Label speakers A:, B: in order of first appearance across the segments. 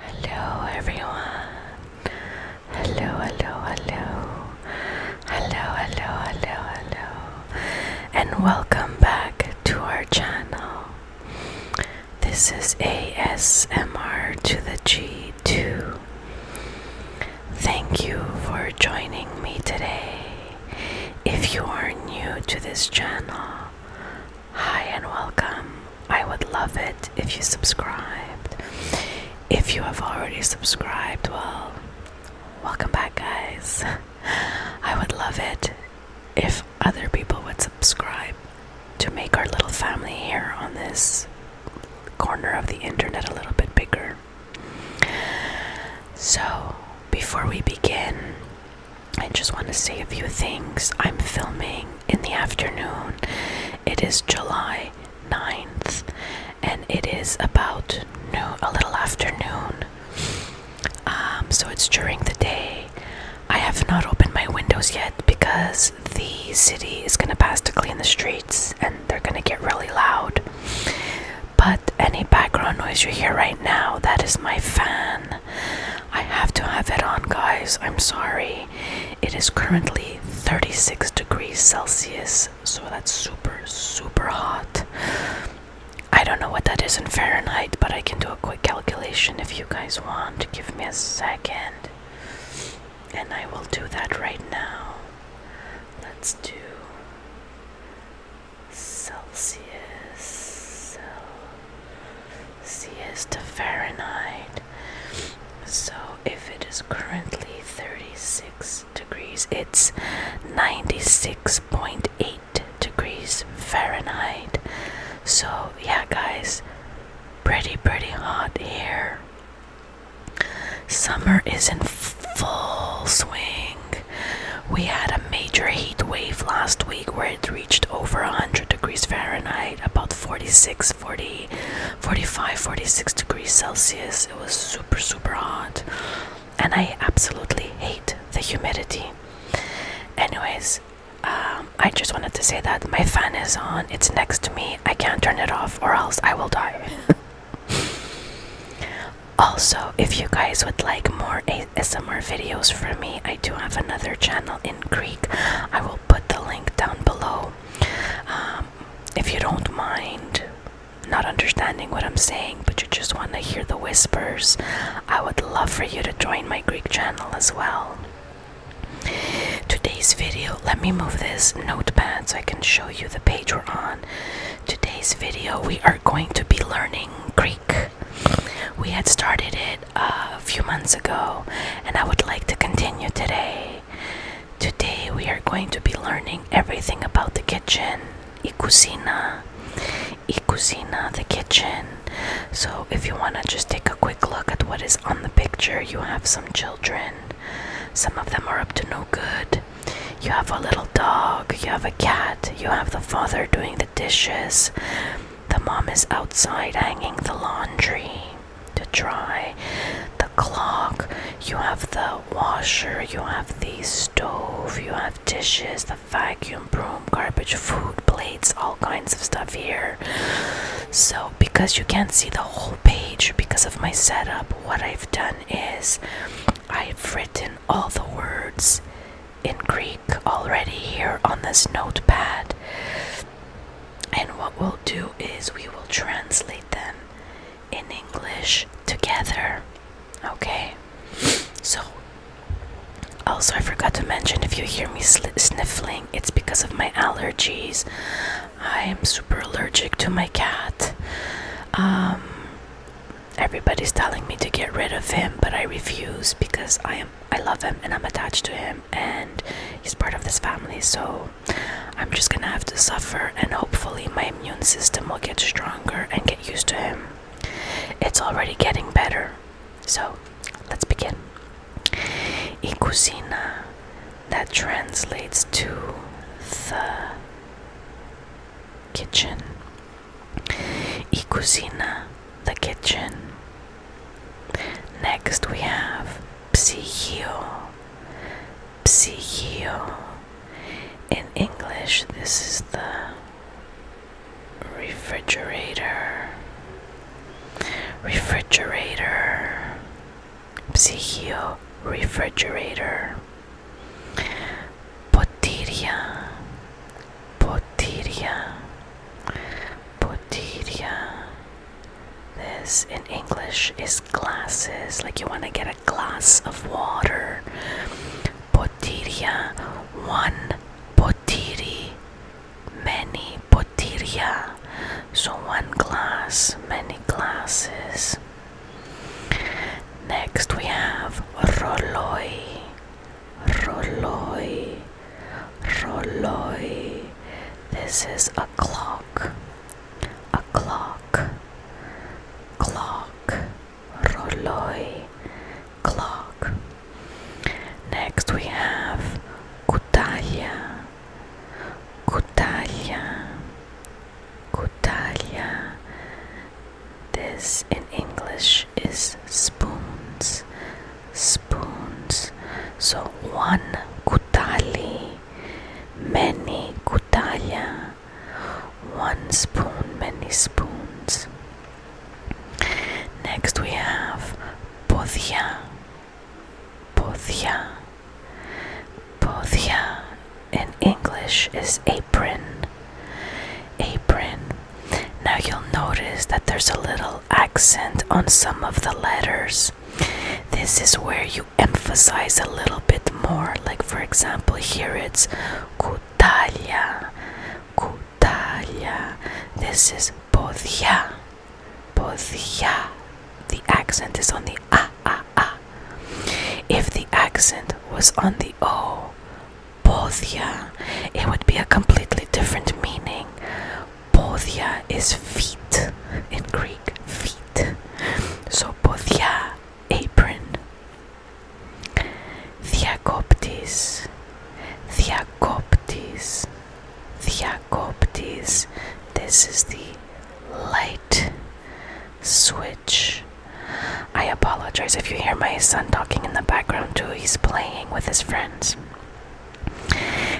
A: Hello everyone. Hello, hello, hello. Hello, hello, hello, hello. And welcome back to our channel. This is ASMR to the G2. Thank you for joining me today. If you are new to this channel, hi and welcome. I would love it if you subscribed. If you have already subscribed, well, welcome back, guys. I would love it if other people would subscribe to make our little family here on this corner of the internet a little bit bigger. So, before we begin, I just want to say a few things. I'm filming in the afternoon. It is July 9th, and it is about noon, a little after noon. Um, so, it's during the day. I have not opened my windows yet because the city is going to pass to clean the streets and they're going to get really loud. But any background noise you hear right now, that is my fan. I have to have it on, guys. I'm sorry. It is currently 36 degrees Celsius, so that's super, super hot. I don't know what that is in Fahrenheit, but I can do a quick calculation if you guys want. Give me a second. And I will do that right now. Let's do Celsius, to Fahrenheit. So if it is currently 36 degrees, it's 96.8 degrees Fahrenheit. So yeah, guys, pretty, pretty hot here. Summer is in full swing. We had a major heat wave last week where it reached over 100 degrees Fahrenheit, about 46, 40, 45, 46 degrees Celsius. It was super, super hot. And I absolutely hate the humidity. Anyways, um, I just wanted to say that my fan is on, it's next to me. I can't turn it off, or else I will die. Also, if you guys would like more ASMR videos from me, I do have another channel in Greek. I will put the link down below. Um, if you don't mind not understanding what I'm saying, but you just want to hear the whispers, I would love for you to join my Greek channel as well. Today's video, let me move this notepad so I can show you the page we're on today's video we are going to be learning Greek we had started it uh, a few months ago and I would like to continue today today we are going to be learning everything about the kitchen η cucina cucina the kitchen so if you want to just take a quick look at what is on the picture you have some children some of them are up to no good you have a little dog, you have a cat, you have the father doing the dishes, the mom is outside hanging the laundry to dry, the clock, you have the washer, you have the stove, you have dishes, the vacuum, broom, garbage, food, plates, all kinds of stuff here. So, because you can't see the whole page because of my setup, what I've done is I've written all the words in Greek already here on this notepad. And what we'll do is we will translate them in English together. Okay? So, also, I forgot to mention if you hear me sniffling, it's because of my allergies. I am super allergic to my cat. Um, everybody's telling me to get rid of him, but I refuse because I am I love him and I'm attached to him and he's part of this family. So I'm just gonna have to suffer and hopefully my immune system will get stronger and get used to him. It's already getting better. So let's begin. cucina that translates to the kitchen. Y cocina, the kitchen. Next we have psihio. Psihio. In English, this is the refrigerator. Refrigerator. Psychio refrigerator Potiria Potiria Potiria This in English is glasses like you want to get a glass of water Potiria one potiri many potiria so one glass many glasses Next we have Roloi, Roloi, Roloi. This is a clock, a clock, clock, Roloi, clock. Next we have Kutaya, Kutaya, Kotalia. This in English is spoons, spoons. So one kutali, many kutalia, one spoon, many spoons. Next we have podia, podia. Boothia in English is apron. Apron. Now you'll notice that there's a little accent on some of the letters. This is where you emphasize a little bit more. Like, for example, here it's Kutalia. Kutalia. This is Boothia. Boothia. The accent is on the ah, ah, ah. If the accent was on the O, Bothia, it would be a completely different meaning. Bothia is feet in Greek, feet. So Bothia, apron. Diakoptis, Diakoptis, Diakoptis. This is the light light switch. I apologize if you hear my son talking in the background too. He's playing with his friends.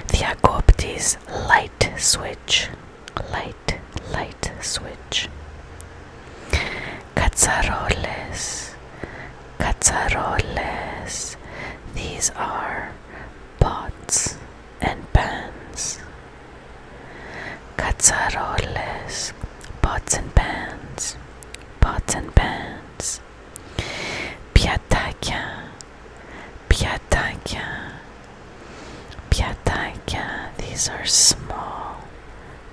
A: The Agopti's light switch. Light, light switch. Cazzaroles. Cazzaroles. These are pots and pans. Cazaroles, pots and pans, pots and pans. Piataka, piataka, piataka. These are small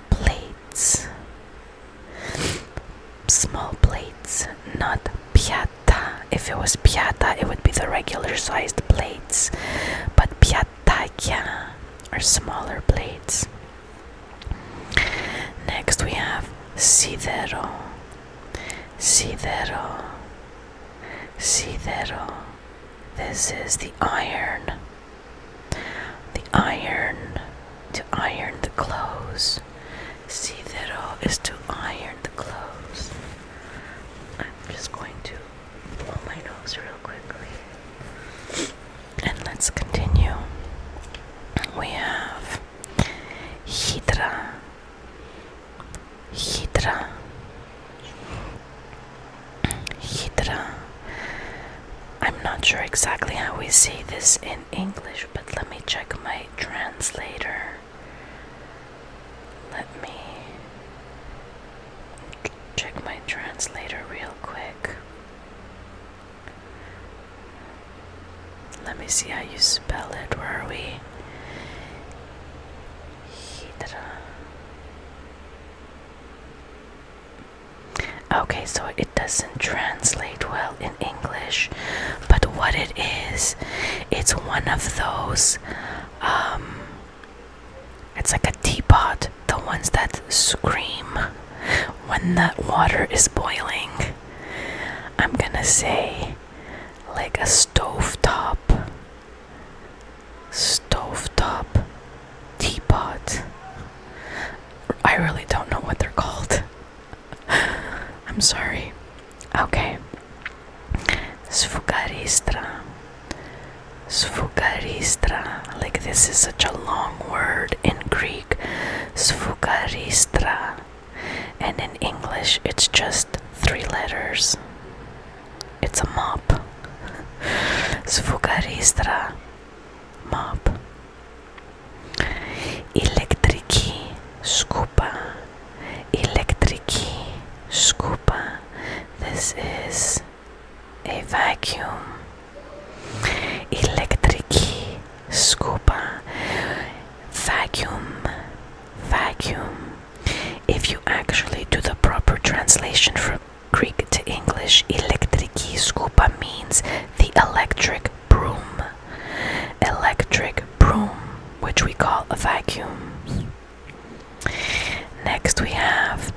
A: plates. Small plates, not piatta. If it was piatta, it would be the regular sized blades, but piatakia are smaller blades. Next we have sidero, sidero, sidero. This is the iron, the iron to iron the clothes. Sidero is to iron the clothes. I'm just going to and let's continue. We have Hydra. Hydra. Hydra. I'm not sure exactly how we say this in English, but let me check my translator. Let me check my translator real quick. Let me see how you spell it. Where are we? Hydra. Okay, so it doesn't translate well in English, but what it is, it's one of those um, it's like a teapot, the ones that scream when that water is boiling. I'm gonna say like a stove top. Stove top teapot. I really don't know what they're called. I'm sorry. Okay. Sfugaristra. Sfugaristra. Like this is such a long word in Greek. Sfugaristra. And in English, it's just three letters. It's a mop. Sfugaristra. Mop. Electrici. Scuba. Electrici scuba. This is a vacuum. Electrici scuba. Vacuum. Vacuum. If you actually do the proper translation from Greek to English, electrici scuba means the electric broom. Electric broom, which we call a vacuum. Next we have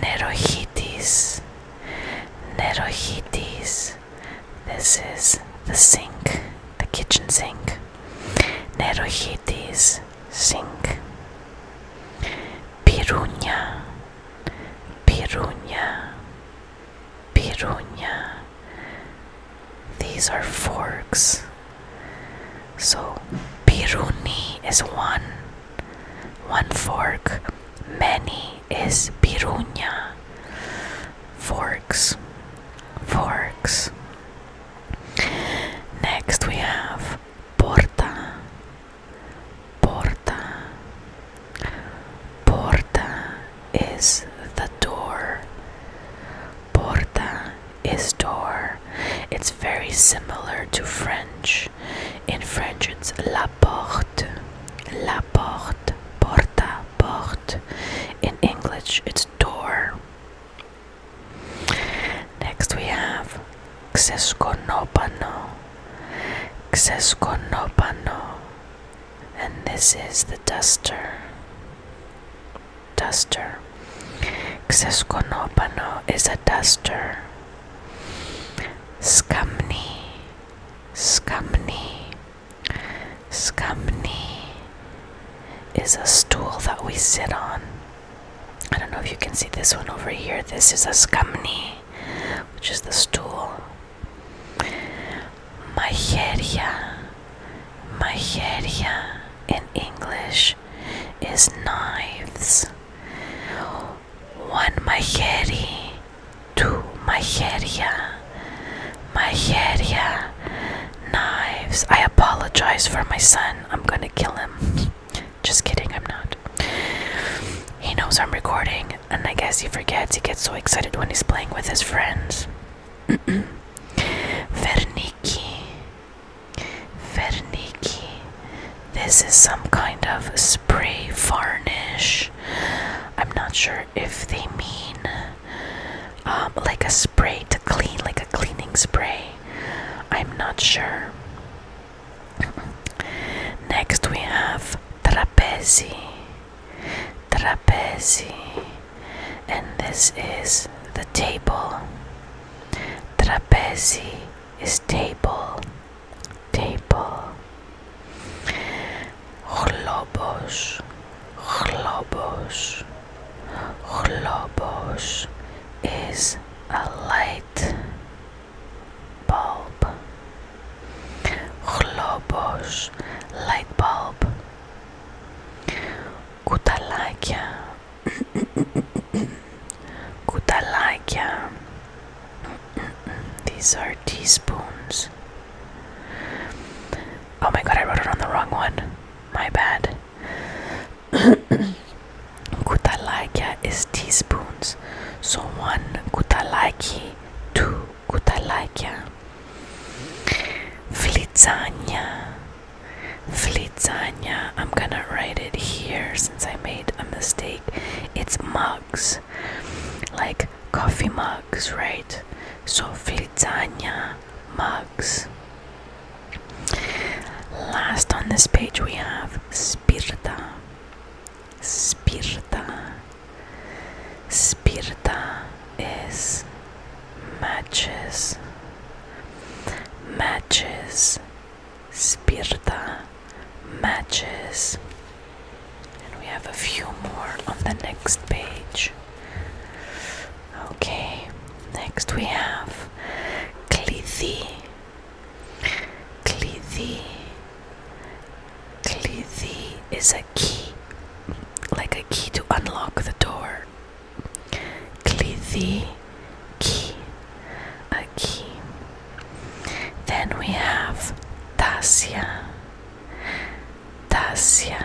A: Nerohitis. Nerohitis. This is the sink, the kitchen sink. Nerohitis sink. Piruña. Piruña. Piruña. These are forks. So piruni is one, one fork. Many is pirunya. Forks, forks. Next we have porta, porta. Porta is the door. Porta Isdor. It's very similar to French. In French, it's la porte, la porte, porta, porte. In English, it's door. Next, we have Xesconopano. Xesconopano. And this is the duster duster. Xesconopano is a duster. Scumney, scumney, scumney is a stool that we sit on. I don't know if you can see this one over here. This is a scumney, which is the stool. Majeria, Majeria in English is knives. One majeri, two majeria, majeria, knives. I apologize for my son. I'm gonna kill him. Just kidding, I'm not. He knows I'm recording, and I guess he forgets. He gets so excited when he's playing with his friends. Verniki. Verniki. This is some kind of spray varnish. I'm not sure if they mean um, like a spray to clean, like a cleaning spray. I'm not sure. Next we have trapezi. Trapezi and this is the table. Trapezi is table, table. Globos, globos, globos is a light bulb. Globos, light bulb κουταλάκια κουταλάκια these are teaspoons oh my god I wrote it on the wrong one my bad kutalaikia is teaspoons so one kutalaiki two kutalaikia flitzania Flitzania. I'm gonna write it here since I made a mistake. It's mugs, like coffee mugs, right? So Flitzania mugs. Last on this page we have Spirta. Spirta. Spirta is matches matches spirta matches and we have a few more on the next page okay next we have clithi clithi clithi is a key like a key to unlock the door Clithi ki key. Then we have Tasia. Tasia.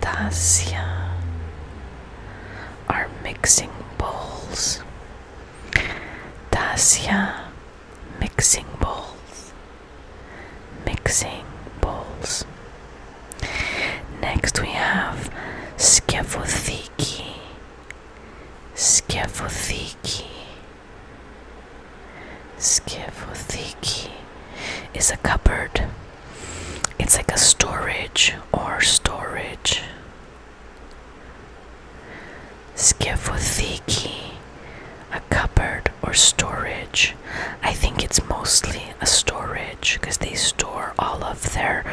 A: Tasia are mixing bowls. Tasia mixing bowls mixing bowls. Next we have skefothiki. Skefothiki. Skefothiki is a cupboard. It's like a storage or storage. Skefothiki, a cupboard or storage. I think it's mostly a storage because they store all of their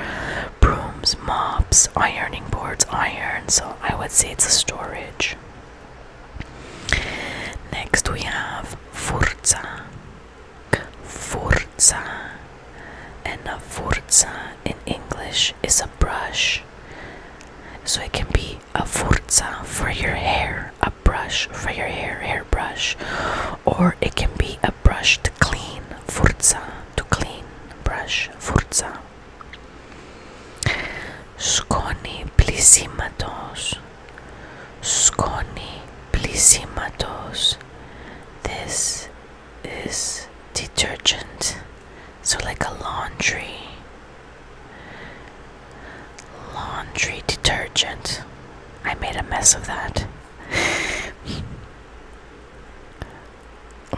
A: brooms, mops, ironing boards, iron. So I would say it's a storage. Next we have furza. Furza, And a Forza in English is a brush. So it can be a furza for your hair a brush for your hair, hairbrush, or it can be a brush to clean, furza, to clean, brush, furza. Σκόνη πλησίματος. Σκόνη πλησίματος. This is detergent. So like a laundry. Laundry detergent. I made a mess of that.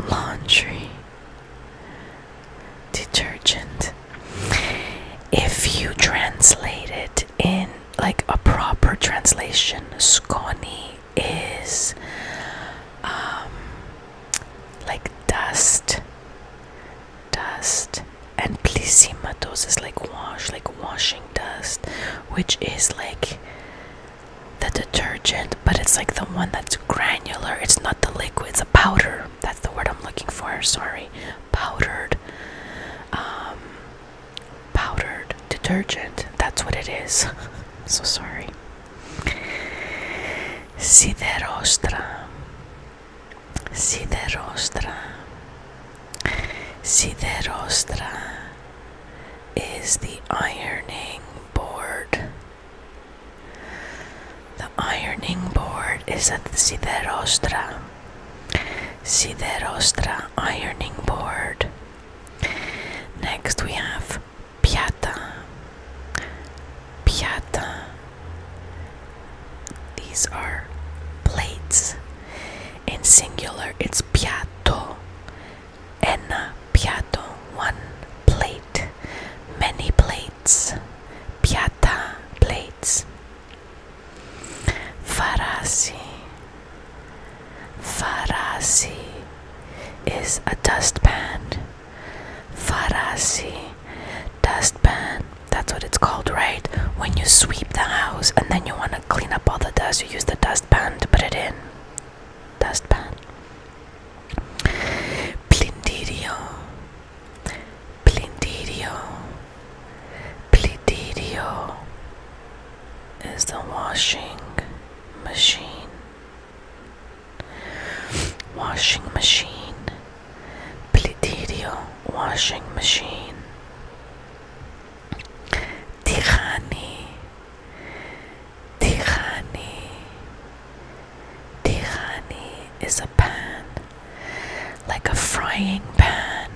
A: Laundry detergent. If you translate it in like a proper translation, sconi is um, like dust dust and plisimatos is like wash like washing dust which is like the detergent but it's like the one that's granular it's not the liquid it's a powder that's the word i'm looking for sorry powdered um powdered detergent that's what it is so sorry siderostra Siderostra. Siderostra is the ironing board. The ironing board is at the Siderostra. Siderostra ironing board. Next we have piatta, piatta. These are plates. In singular, it's piatto. En piatto, one plate. Many plates. Piatta, plates. Farasi. Farasi is a dustpan. Farasi, dustpan. That's what it's called, right? When you sweep the house and then you want to clean up all the dust, you use the dustpan to put it in. Dustpan. Plindirio. Plindirio. Plindirio is the washing machine. Washing machine. Plitidio washing machine. Tirani, Tirani, Tirani is a pan, like a frying pan.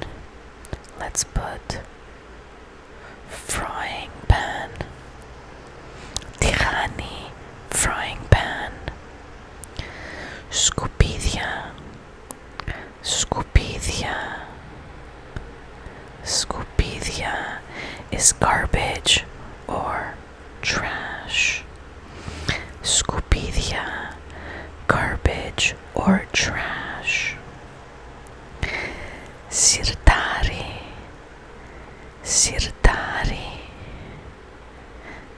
A: Let's put frying pan. Tirani, frying pan. Scupidia, Σκουπίδια. Σκουπίδια is garbage or trash. Σκουπίδια, garbage or trash. Σιρτάρι, σιρτάρι.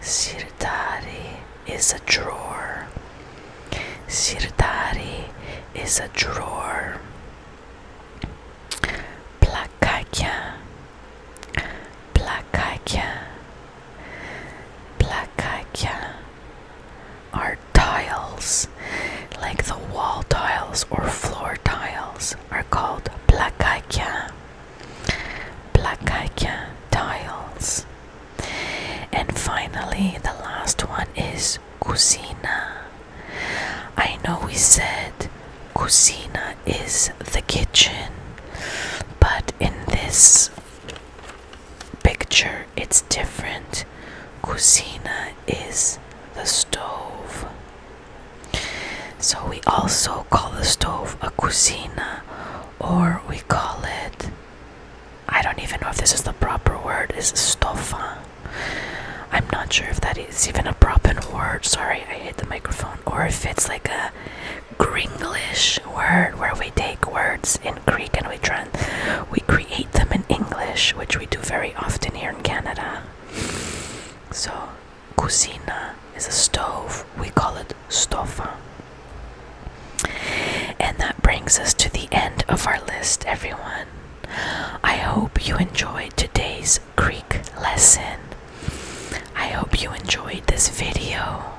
A: Sirdari is a drawer. Sirdari is a drawer. Plakakya. Plakakya. Plakakya are tiles. Like the wall tiles or floor tiles are called plakakya. Plakaikia tiles. And finally, the last one is Cucina. I know we said Cucina is the kitchen, but in this picture it's different. Cucina is the stove. So we also also call the stove a cucina, or we call it. I don't even know if this is the proper word, is stofa. I'm not sure if that is even a proper word. Sorry, I hit the microphone. Or if it's like a Gringlish word where we take words in Greek and we we create them in English, which we do very often here in Canada. So, cucina is a stove. We call it Stofa, And that brings us to the end of our list, everyone. I hope you enjoyed today's Greek lesson. I hope you enjoyed this video.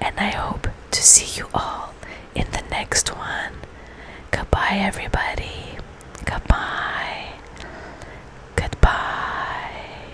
A: And I hope to see you all in the next one. Goodbye, everybody. Goodbye. Goodbye.